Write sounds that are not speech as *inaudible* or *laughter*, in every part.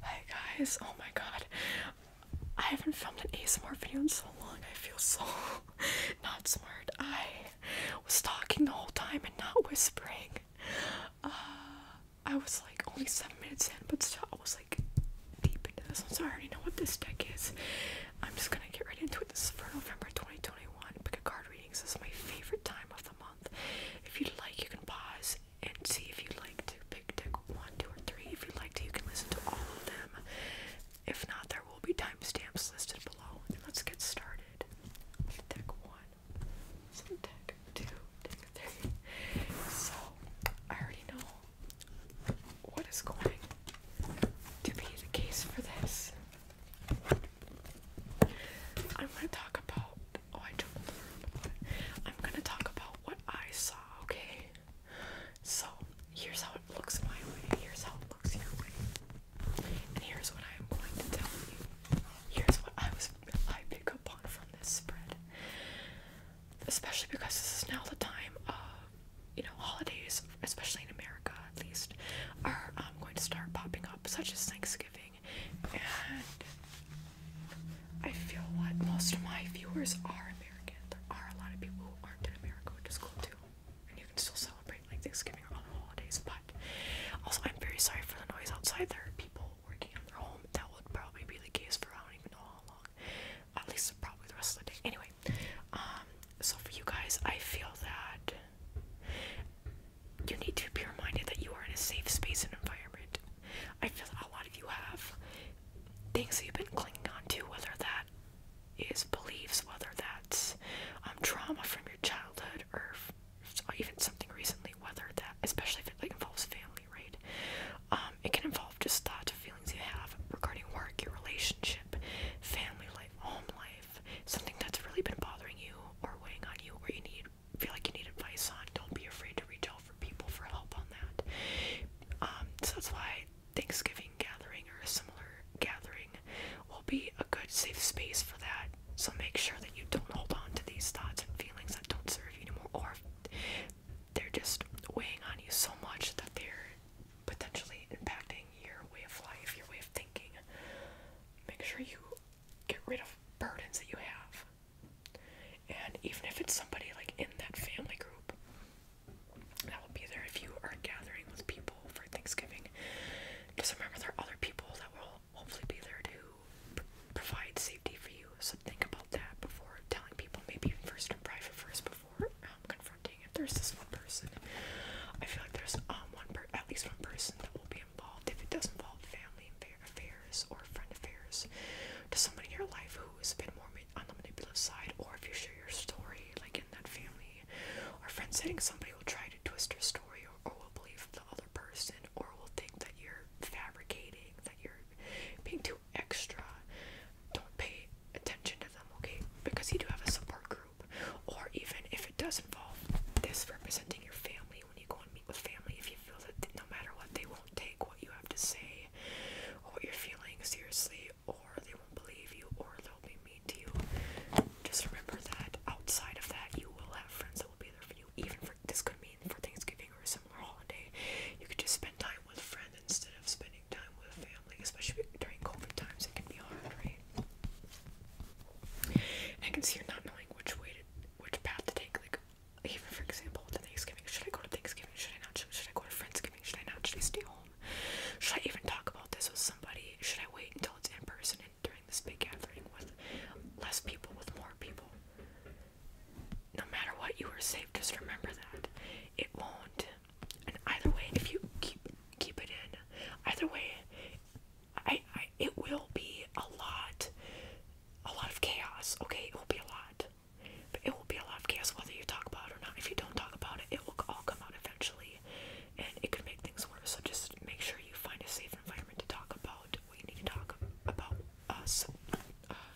Hi guys, oh my god. I haven't filmed an ASMR video in so long, I feel so *laughs* not smart. I was talking the whole time and not whispering. Uh, I was like only seven minutes in, but still I was like deep into this one, so I already know what this deck is. I'm just gonna get right into it. This is for November 2021. Pick a card reading. This is my favorite time of the month. If you'd like, you can pause and see if you would like to pick pick one, two, or three. If you would like to, you can listen to all of them. If not, there will be timestamps listed below. let's get started. Deck one, so deck two, deck three. So I already know what is going to be the case for this. I'm going to talk about oh I jumped around I'm gonna talk about what I saw, okay? So here's how it looks my way, here's how it looks your way. And here's what I am going to tell you. Here's what I was I pick up on from this spread. Especially because this is now the time of you know, holidays, especially in America at least, are um, going to start popping up, such as Thanksgiving and I feel like most of my viewers are American. There are a lot of people who aren't in America, which is cool too. And you can still celebrate like Thanksgiving or other holidays. But also, I'm very sorry for the noise outside. There are people working on their home. That would probably be the case for I don't even know how long. At least probably the rest of the day. Anyway, um, so for you guys, I feel that you need to be reminded that you are in a safe space and environment. I feel that a lot of you have things that you've been clinging on to, whether that is beliefs, whether that's um, trauma from your childhood or even something recently, whether that, especially if it like, involves family, right? Um, it can involve just thoughts or feelings you have regarding work, your relationship, family life, home life, something that's really been bothering you or weighing on you, or you need feel like you need advice on, don't be afraid to reach out for people for help on that. Um, so that's why Thanksgiving gathering or a similar gathering will be a good safe space for that. So make sure that you don't hold on to these thoughts and feelings that don't serve you anymore, or they're just weighing on you so much that they're potentially impacting your way of life, your way of thinking. Make sure you get rid of burdens that you have. And even if it's somebody like in that family group that will be there if you are gathering with people for Thanksgiving, just remember there are other people that will hopefully be there to provide safety for you. So think about that before telling people, maybe even first in private first before um, confronting. If there's this one person, I feel like there's um, one per at least one person that will be involved if it does not involve family and affairs or friend affairs to someone in your life who has been more on the manipulative side, or if you share your story, like in that family or friend setting, somebody will try to twist your story or, or will believe the other person or will think that you're fabricating, that you're being too extra. Don't pay attention to them, okay? Because you do have a support group, or even if it does involve this representing your family when you go and meet with family if you feel that no matter what, they won't take what you have to say or what you're feeling seriously, or they won't believe you, or they'll be mean to you. Just remember that outside of that, you will have friends that will be there for you. Even for this could mean for Thanksgiving or a similar holiday, you could just spend time with a friend instead of spending time with family, especially during COVID times. It can be hard, right? I can see you're not knowing which way to, which path to take. Like, even for example, to Thanksgiving, should I go to Thanksgiving? Should I not? Should, should I go to Friendsgiving? Should I not? Should I stay home? Should I even talk about this with somebody? Should I wait until it's in person and during this big gathering with less people, with more people? No matter what, you are safe. Just remember that it won't. And either way, if you keep keep it in, either way, I, I it will be a lot a lot of chaos, okay? It will be a lot. it will be a lot of chaos whether you talk about it or not. If you don't talk about it, it will all come out eventually and it could make things worse. So just make sure you find a safe environment to talk about what need to talk about us uh, uh,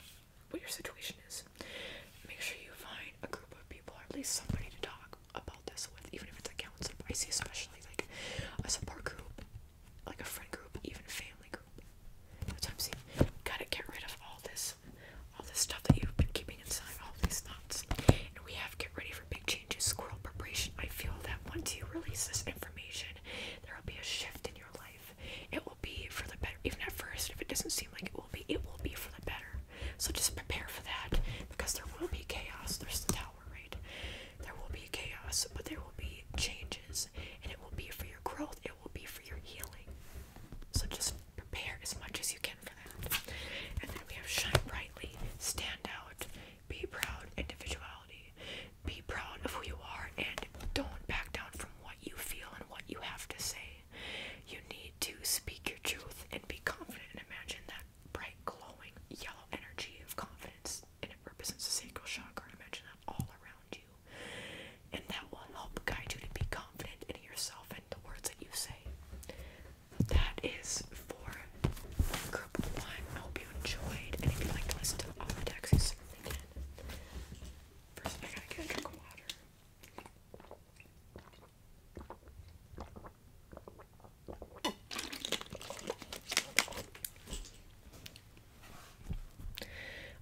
what your situation is. Make sure you find a group of people or at least somebody to talk about this with, even if it's a counselor. I see especially like a support group like a friend group, even a family group. That's what I'm saying. Gotta get rid of all this, all this stuff that you've been keeping inside, all these thoughts. And we have to get ready for big changes. Squirrel preparation. I feel that once you release this information, there will be a shift in your life. It will be for the better. Even at first, if it doesn't seem like it will be, it will be for the better. So just prepare for that because there will be chaos. There's the tower, right? There will be chaos, but there will be changes, and it will be for your growth, it will be for your healing. So just prepare as much as you can for that. And then we have shine brightly, stand out, be proud, individuality. Be proud of who you are and don't back down from what you feel and what you have to say. You need to speak your truth and be confident and imagine that bright, glowing, yellow energy of confidence and it represents the sacral I Imagine that all around you, and that will help guide you to be confident in yourself and the words that you say. That is for group one. I hope you enjoyed, and if you'd like to listen to all decks, you can. First, I gotta drink water.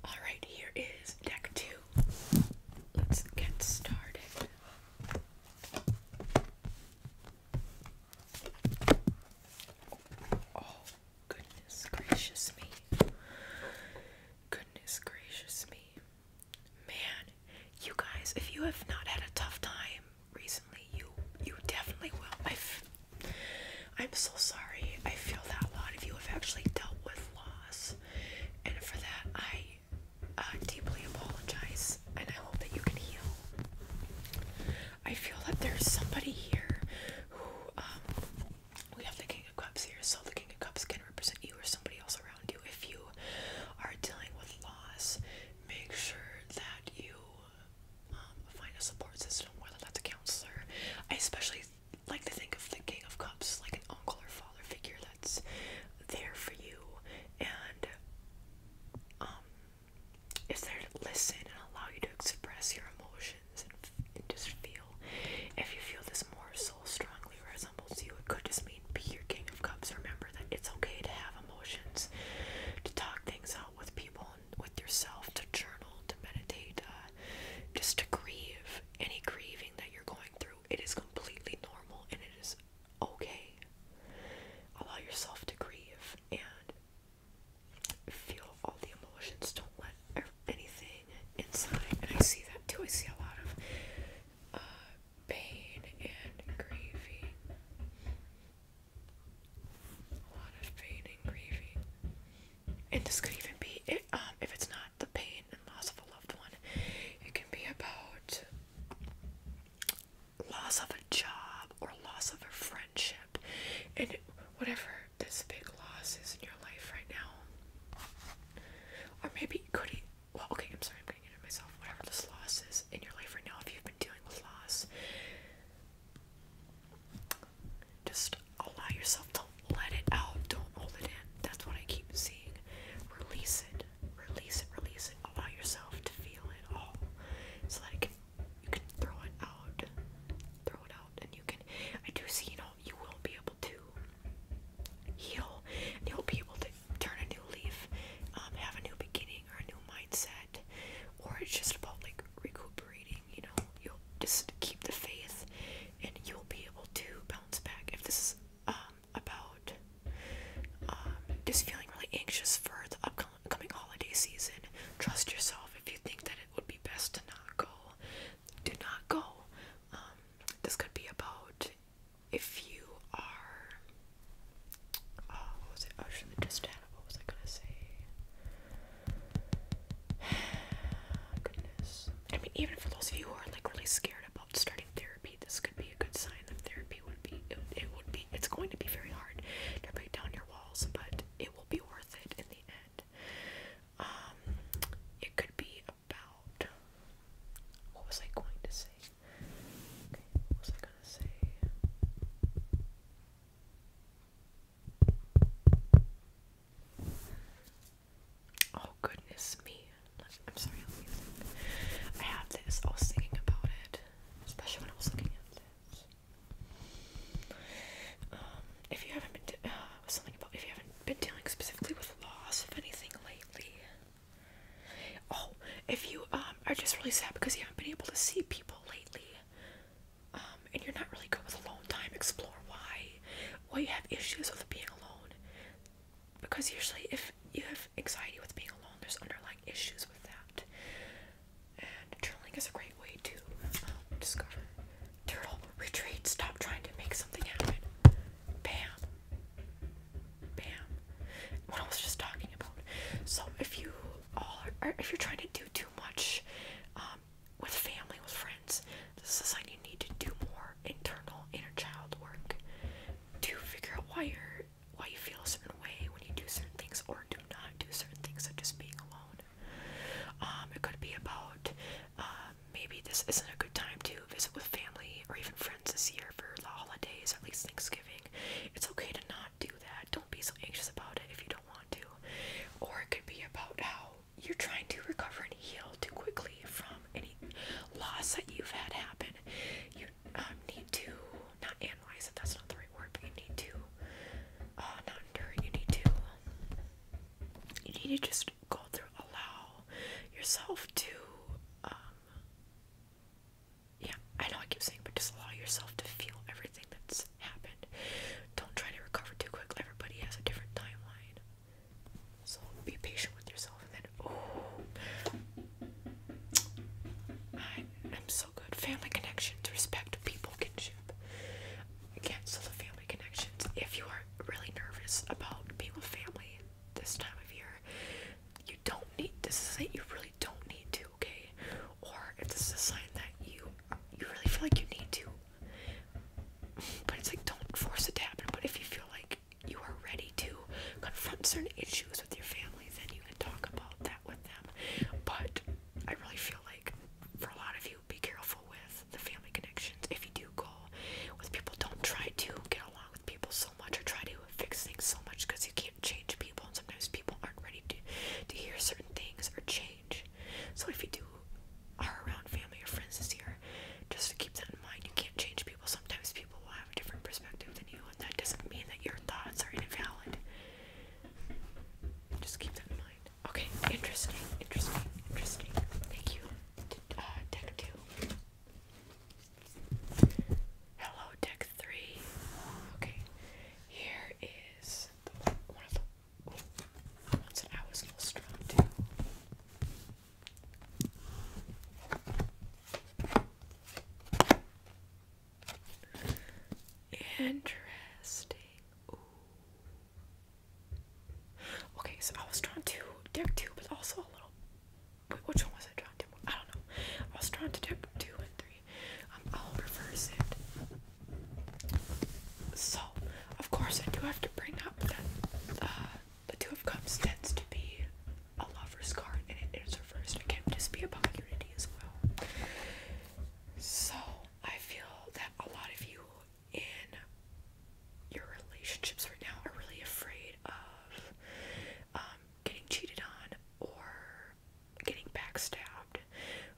Alright, here is deck two. Let's get started. Oh, goodness gracious me. Goodness gracious me. Man, you guys, if you have not had a tough time recently, you you definitely will. I've, I'm so sorry. I feel that a lot of you have actually dealt with loss, and for that I uh, deeply apologize. And I hope that you can heal. I feel that there's somebody here who um, we have the King of Cups here, so the King of Cups can represent you or somebody else around you. If you are dealing with loss, make sure that you um, find a support system, whether that's a counselor. I especially like to think of the King of Cups like an uncle or father figure that's there for you and um, is there to listen and allow you to express your emotions and, and just feel. If you feel this more so strongly resembles you, it could just mean be your King of Cups. Remember that it's okay to have emotions, to talk things out with people, with yourself to journal, to meditate, uh, just to grieve any grieving that you're going through. It is completely normal and it is okay. Allow yourself to grieve and feel all the emotions. Don't let anything inside. I see that too. I see a lot of uh, pain and grieving. A lot of pain and grieving. And this could even be, it, um, if it's not the pain and loss of a loved one, it can be about loss of a job or loss of a friendship. And whatever this big loss is in your life right now. Or maybe could be. well, okay, I'm sorry, I'm getting into myself. Whatever this loss is in your life right now, if you've been dealing with loss, just allow yourself to let it out. Don't hold it in. That's what I keep seeing. Release it. Release it. Release it. Allow yourself to feel it all, so that you can throw it out. Throw it out, and you can. I do see. You know, you will be able to heal, and you'll be able to turn a new leaf, um, have a new beginning or a new mindset, or it's just about like recuperating, you know, you'll just keep the faith and you'll be able to bounce back. If this is um, about um, just feeling really anxious for the upcoming holiday season, trust yourself. If you think that it would be best to not go, do not go. Um, this could be about if you are Oh, was it? Oh, just What was I gonna say? *sighs* Goodness. I mean, even for those of you who are like really scared about starting therapy, this could be a good sign that therapy would be. It, it would be. It's going to be very hard to break down your walls, but it will be worth it in the end. Um, it could be about. What was I going to say? Okay, what was I gonna say? Oh goodness me. I'm sorry, I'll this, I was thinking about it. Especially when I was looking at this. Um, if you haven't been, uh, if you haven't been dealing specifically with loss of anything lately. Oh, if you, um, I'm um, just really sad because you haven't been able to see people lately. Um, and you're not really good with alone time. Explore why. Why you have issues with being alone. Because usually, if you have anxiety with being alone, there's underlying issues with that. And journaling is a great way to um, discover. Turtle, retreat. Stop trying to make something happen. Bam. Bam. What I was just talking about. So, if you all or if you're trying to do too much um, with family, with friends, this is a sign you need to do more internal inner child work to figure out why you're why you feel a certain way when you do certain things or do not do certain things, such as being alone. Um, it could be about um, maybe this isn't a good time to visit with family or even friends this year for the holidays, or at least Thanksgiving. It's okay to not do that. Don't be so anxious about it if you don't want to. Or it could be about how you're trying to recover and heal too quickly from any loss that you've had happen. You um, need to not analyze it, that's not the right word, but you need to uh, not endure You need to, you need to just go through, allow yourself to um, yeah, I know I keep saying, but just allow yourself to feel everything that's happened. Don't try to recover too quick. Everybody has a different timeline. So be patient with yourself and then oh I am so good. Family connections, respect people kinship. Cancel the family connections. If you are really nervous about being with family this time of year, you don't need this is it, you really don't need to to, okay? Or if this is a sign that you you really feel like you need to, but it's like don't force it to happen. But if you feel like you are ready to confront certain issues with your family, then you can talk about that with them. But I really feel like for a lot of you, be careful with the family connections. If you do go with people, don't try to get along with people so much or try to fix things so much because you can't change and sometimes people aren't ready to to hear certain things or change. So if you do are around family or friends this year, just to keep that in mind, you can't change people. Sometimes people will have a different perspective than you, and that doesn't mean that your thoughts are invalid. Just keep that in mind. Okay, interesting, interesting, interesting. Thank you, uh, Deck Hello, Deck three. Okay, here is one of the ones that I was illustrated to. Interesting. Okay, so I was drawn to deck two, but also a little. which one was I drawn to? I don't know. I was drawn to deck two and three. Um, I'll reverse it. So, of course, I do have to bring up that uh, the Two of Cups tends to be a lover's card, and it is reversed. It can just be about unity as well. So, I feel that a lot of you in your relationships right now are really afraid of um, getting cheated on or getting backstabbed.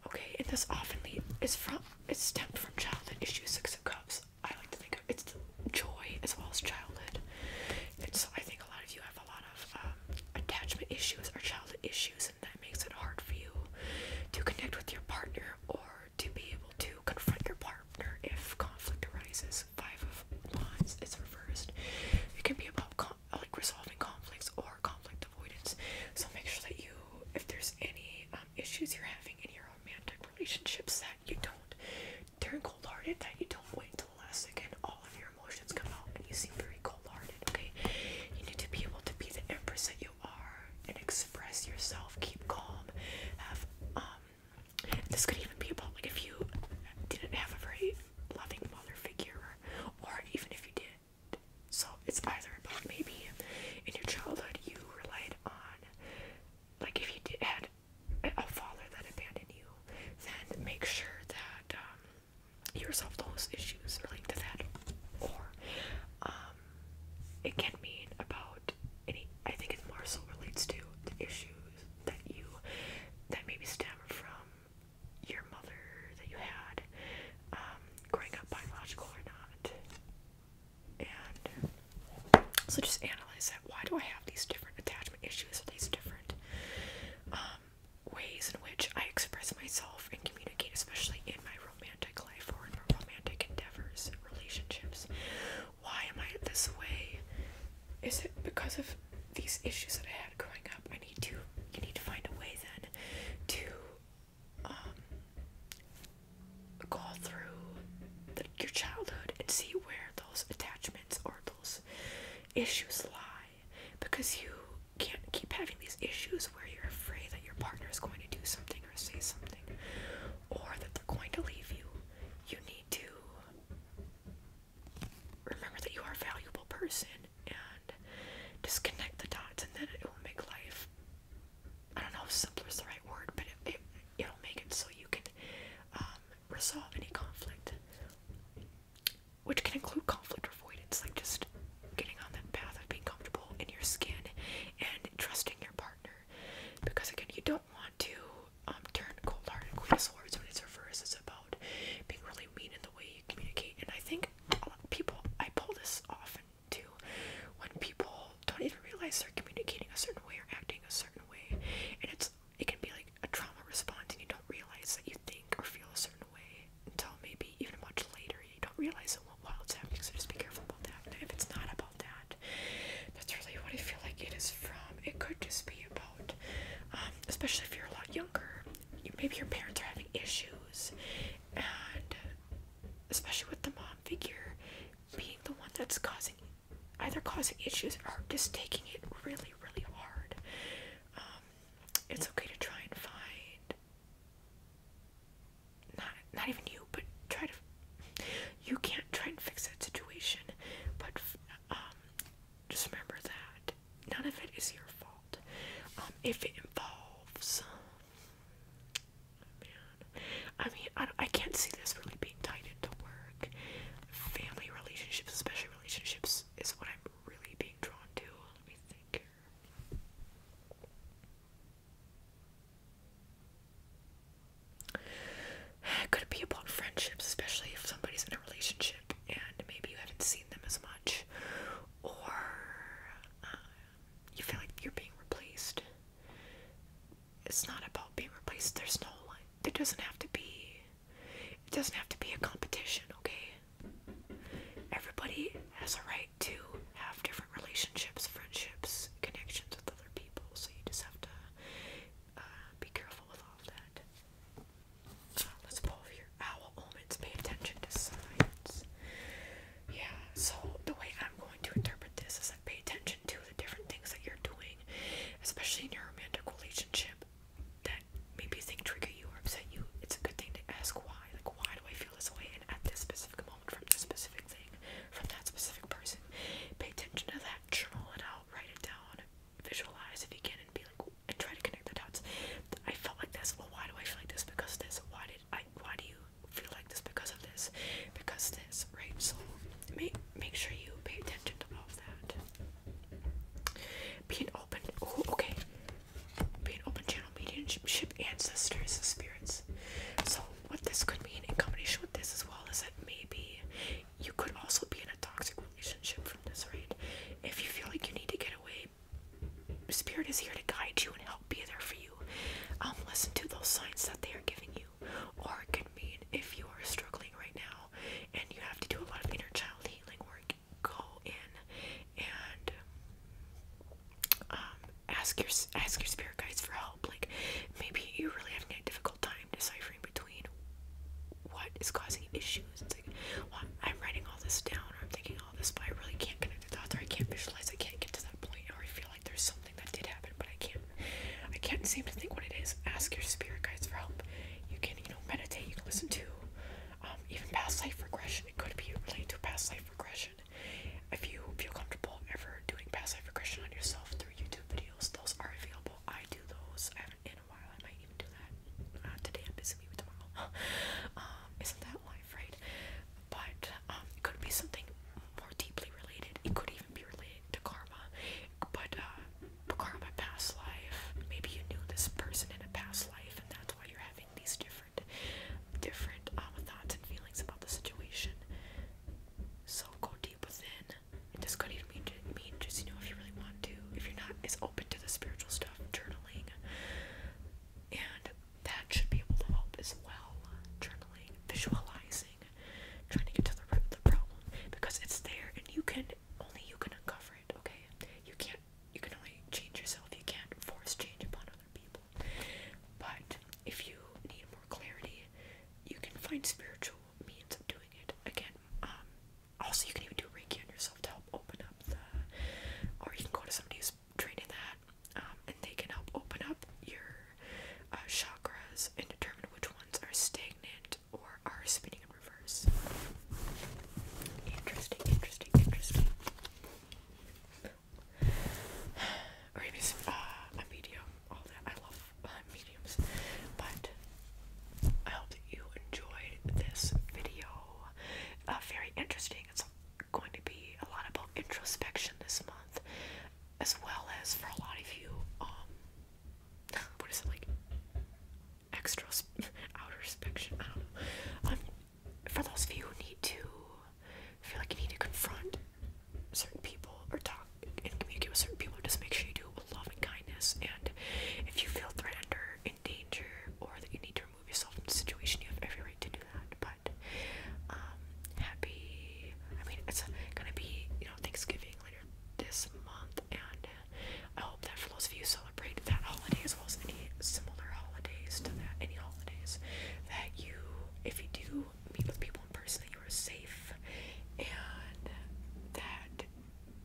Okay, and this often is from it stemmed from childhood issues. Six of Cups. I like to think of it's joy as well as childhood. And so I think a lot of you have a lot of um, attachment issues or childhood issues, and that makes it hard for you to connect with your partner or to be able to confront your partner if conflict arises. Five of Wands is reversed. It can be about uh, like resolving conflicts or conflict avoidance. So make sure that you, if there's any um, issues you're having in your romantic relationships, that you don't turn cold-hearted, that you don't wait until the last second. All of your emotions come out, and you seem very cold-hearted. Okay, you need to be able to be the empress that you are and express yourself. Keep calm. Have um. This could even be about like if you didn't have a break loving mother figure, or even if you did. So it's either about maybe in your childhood you relied on, like if you did, had a father that abandoned you, then make sure that um, you resolve those issues related to that. Or um, it can mean about any. I think it more so relates to the issues that you that maybe stem from your mother that you had um, growing up biological or not. And so just analyze that. Why do I have these different attachment issues or these different um, ways in which I express myself and communicate, especially in my romantic life or in my romantic endeavors, relationships? Why am I this way? Is it because of these issues that I had growing up, I need to you need to find a way then to um go through your childhood and see where those attachments or those issues lie because you can't keep having these issues where you're afraid that your partner is going to do something or say something or that they're going to leave you. You need to remember that you are a valuable person and disconnect the dots, and then it will make life. I don't know if is the right word, but it, it, it'll make it so you can um, resolve any conflict, which can include conflict avoidance, like just getting on that path of being comfortable in your skin and trusting your partner. Because again, you don't want to um, turn cold-hearted Queen of Swords when it's reversed is about being really mean in the way you communicate. And I think people, I pull this often too, when people don't even realize they're communicating a certain way or acting a certain way, and it's it can be like a trauma response, and you don't realize that you think or feel a certain way until maybe even much later. You don't realize it while it's happening, so just be careful about that. And if it's not about that, that's really what I feel like it is from. It could just be about um, especially if you're a lot younger. maybe your parents are having issues, and uh, especially with the mom figure being the one that's causing either causing issues or just taking it really, really hard. Um, it's okay to try and find not not even you, but try to you can't try and fix that situation, but um, just remember that none of it is your fault. Um, if it involves, oh, man, I mean, I, I can't see this really being tied into work, family relationships, especially relationships, is what I'm really being drawn to. Let me think here could it be about friendships, especially if somebody's in a relationship and maybe you haven't seen them as much, or uh, you feel like you're being replaced. It's not about being replaced. There's no like. There doesn't have to be. It doesn't have to be a competition. Okay. Everybody has a right to have different relationships, friendships, connections with other people. So you just have to uh, be careful with all that. Uh, let's pull your owl omens. Pay attention to signs. Yeah, so the way I'm going to interpret this is I pay attention to the different things that you're doing, especially in your romantic relationship, that maybe think trigger you or upset you. It's a good thing to ask why. Like, why do I feel this way? And at this specific moment, from this specific thing, from that specific person, pay attention to that. Journal it out. Write it down visualize if you can and be like try to connect the dots. I felt like this. Well, why do I feel like this? Because this. Why did I? Why do you feel like this? Because of this. Because this. Right. So make make sure you pay attention to all of that. Being open. Oh, okay. Being open channel mediumship ancestors spirits. So what this could mean in combination with this as well is that maybe you could also be in a toxic relationship from this, right? If you feel like you need to get away, Spirit is here to guide you and help be there for you. Um, listen to those signs that they are giving you. Or it could mean if you are struggling right now and you have to do a lot of inner child healing work, go in and um, ask your ask your spirit guides for help. Like maybe you really have a difficult time deciphering between what is causing issues. It's like, I'm writing all this down, I'm thinking all this, but I really can't connect the dots, I can't visualize. I can't get to that point, or I feel like there's something that did happen, but I can't. I can't seem to think what it is. Ask your spirit guides for help. You can, meditate. You can listen to um, even past life regression. It could be really to past life regression. If you feel comfortable ever doing past life regression on yourself through YouTube videos, those are available. I do those in a while. I might even do that. Uh, today, I'm busy with tomorrow. *laughs* Um, isn't that life, right? But um, it could be something more deeply related. It could even be related to karma. Uh, but karma, past life. Maybe you knew this person in a past life, and that's why you're having these different, different uh, thoughts and feelings about the situation. So go deep within it and discredit even mean just you know if you really want to if you're not as open to the spiritual stuff journaling and that should be able to help as well journaling visualizing trying to get to the root of the problem because it's there and you can only you can uncover it okay you can't you can only change yourself you can't force change upon other people but if you need more clarity you can find spiritual means of doing it. Again, um, also you can even do Reiki on yourself to help open up the, or you can go to somebody who's trained in that, um, and they can help open up your uh, chakras and determine which ones are stagnant or are spinning in reverse. Interesting, interesting, interesting. *sighs* or even uh, a video all that. I love uh, mediums. But I hope that you enjoyed this video. Uh, very interesting. It's going to be a lot about introspection this month, as well as for a lot of you. Um, what is it like? Extra *laughs* outer inspection. I don't know. Um, for those of you who need to feel like you need to confront certain people or talk and communicate with certain people, just make sure you do with love and kindness. And if you feel threatened or in danger, or that you need to remove yourself from the situation, you have every right to do that. But um, happy, I mean, it's gonna be you know Thanksgiving later this month, and I hope that for those of you who celebrate that holiday as well as any similar holidays to that, any holidays that you, if you do meet with people own person that you are safe and that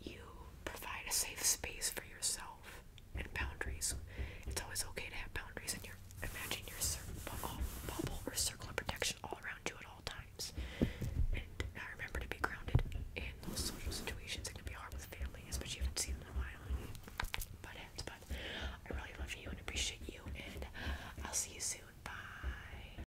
you provide a safe space for yourself and boundaries. It's always okay to have boundaries and in your imagine your bubble or circle of protection all around you at all times. And I remember to be grounded in those social situations. It can be hard with family, especially if you haven't seen them in a while. But but I really love you and appreciate you and I'll see you soon. Bye.